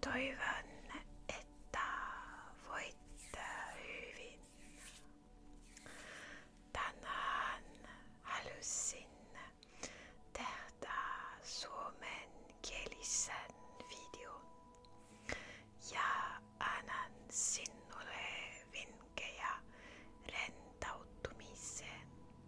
Toivon, että voitte hyvin. Tänään halusin tehdä suomen kielisen videon ja annan sinulle vinkkejä rentautumiseen.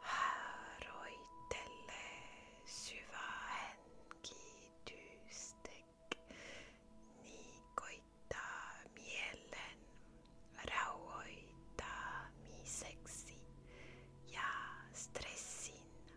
Haroitelle syvään kiitystek, niikoittaa mielen rauhoittamiseksi ja stressin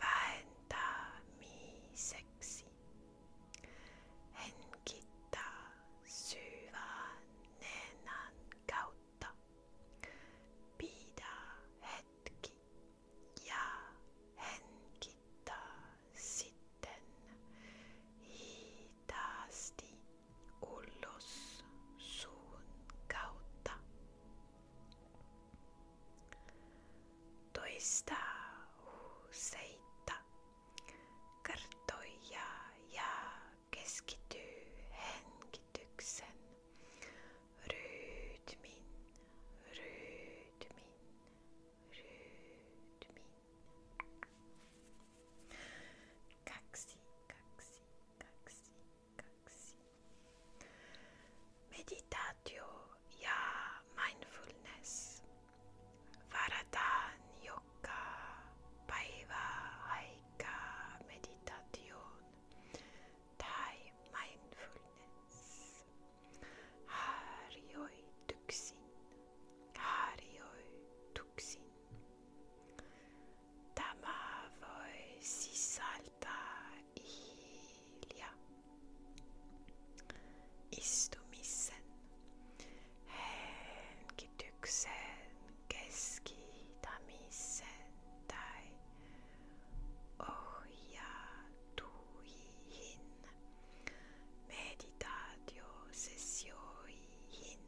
vähentämiseksi. Hengittää syvään nenän kautta. Pidä hetki ja hengittää sitten hitaasti ulos suun kautta. Toista useita Kartoja ja keskity henkityksen. Rytmin, rytmin, rytmin. Kaksi, kaksi, kaksi, kaksi. Meditaatio ja mindfulness. Varadan Jokka Paiva Aika Meditation Tai Mindfulness Harjoi Tuksin Harjoi Tuksin Tämä voi sisältää ilja istumisen henkityksen keskitämisen tai ohjatuihin meditaatiosessioihin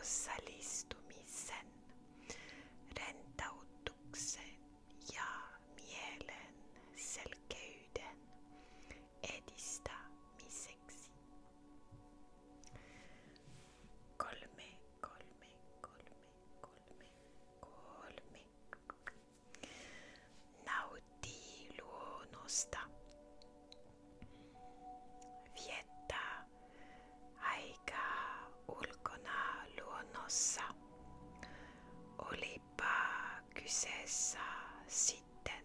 osallistumisen, rentautuksen ja mielen selkeyden edistää miseksi. Kolme, kolme, kolme, kolme, kolme. Nauti luonnosta. Viettää ulkona luonnossa. Olipa kyseessä sitten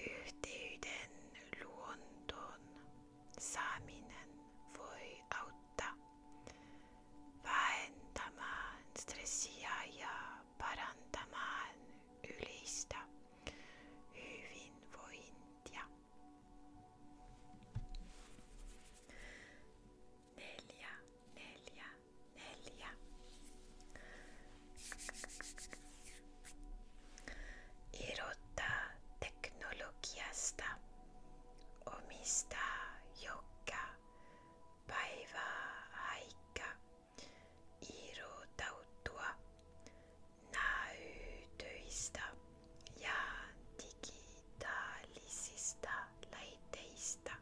Yhteyden luontoon saaminen voi auttaa vähentämään stressiä ja parantamaan yleistä hyvinvointia. Neljä, neljä, neljä. Irottaa teknologiasta omista joka päivää aika irotautua näytöistä ja digitaalisista laitteista.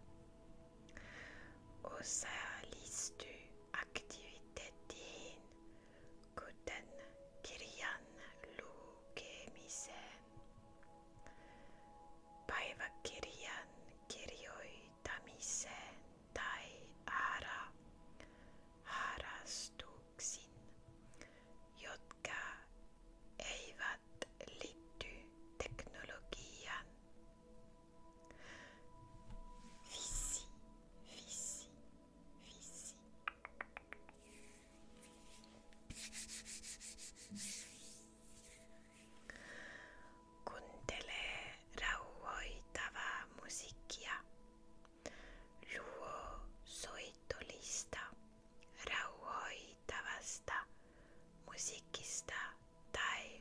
Osallistu aktiviteettiin kuten kirjan lukemiseen, päiväkirjan kirjoitamiseen tai ara harrastuksiin, jotka eivät liitty teknologiaan. Vissi, vissi, Ici. Kuuntelee rauhoitavaa musiikkia. Luo soittolista rauhoitavasta musiikista tai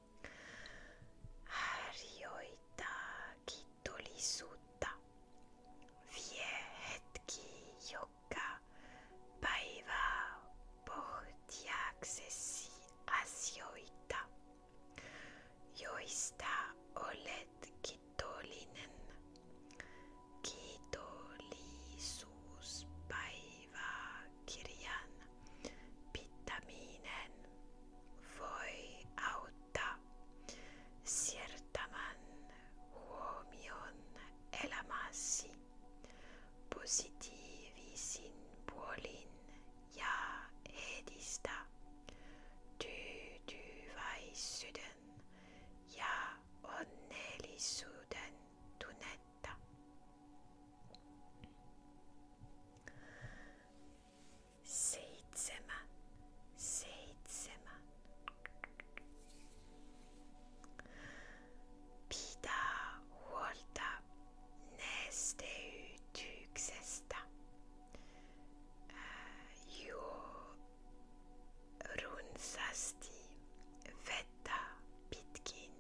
harjoittaa kiitollisuutta. Vie hetki joka päivä pohtiaksesi asioita, joista olet kiitollinen. Kiitollisuuspäiväkirjan pitäminen voi auttaa siirtämään huomion elämäsi positiivisin puolin ja edistää tyytyväisyyden ja onnellisuuden tunnetta seitsemän, seitsemän. Pitää huolta nesteytyksestä. Jo runsasti vettä pitkin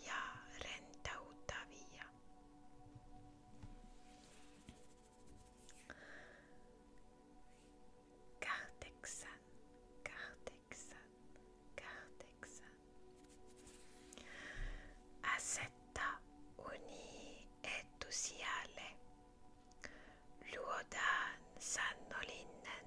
ja rentouttavia. Kahdeksan, kahdeksan, kahdeksan. Asetta uni etusijalle. Luodaan sannollinen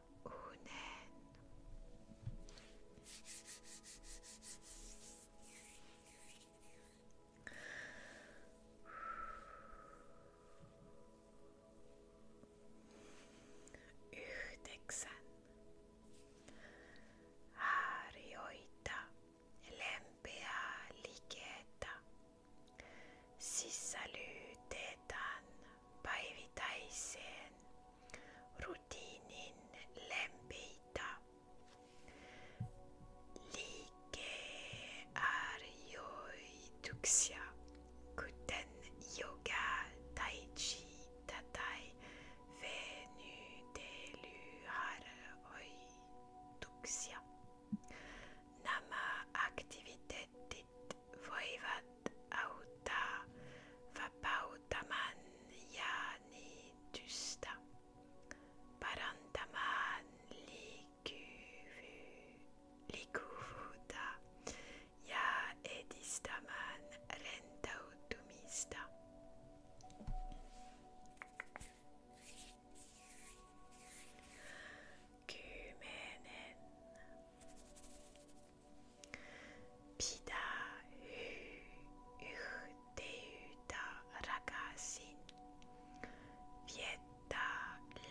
unen. Yhdeksän. Harjoita lempeää liketä. Sisällytetään päivittäiseen rutiinin lempeitä. Liikeharjoituksia, kuten yoga, tai chi tai venytelyharjoituksia. Nämä aktiviteetit voivat auttaa vapauttamaan jännitystä, parantamaan liikkuvuutta ja edistämään rentoutumista. Kymmenen Pidä hy yhteyttä rakasin. Vietä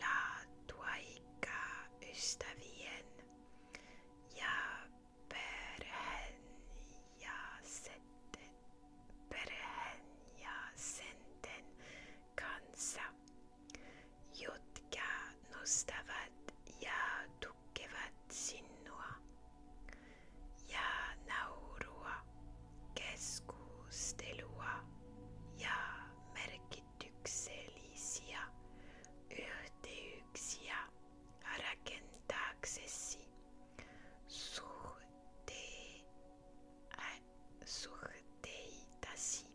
laatuaikaa ystävien ja perheen ja senten, perheen ja senten kanssa jotka nostavat ja tukevat sinua ja naurua, keskustelua ja merkityksellisiä yhteyksiä rakentaaksesi suhteitasi.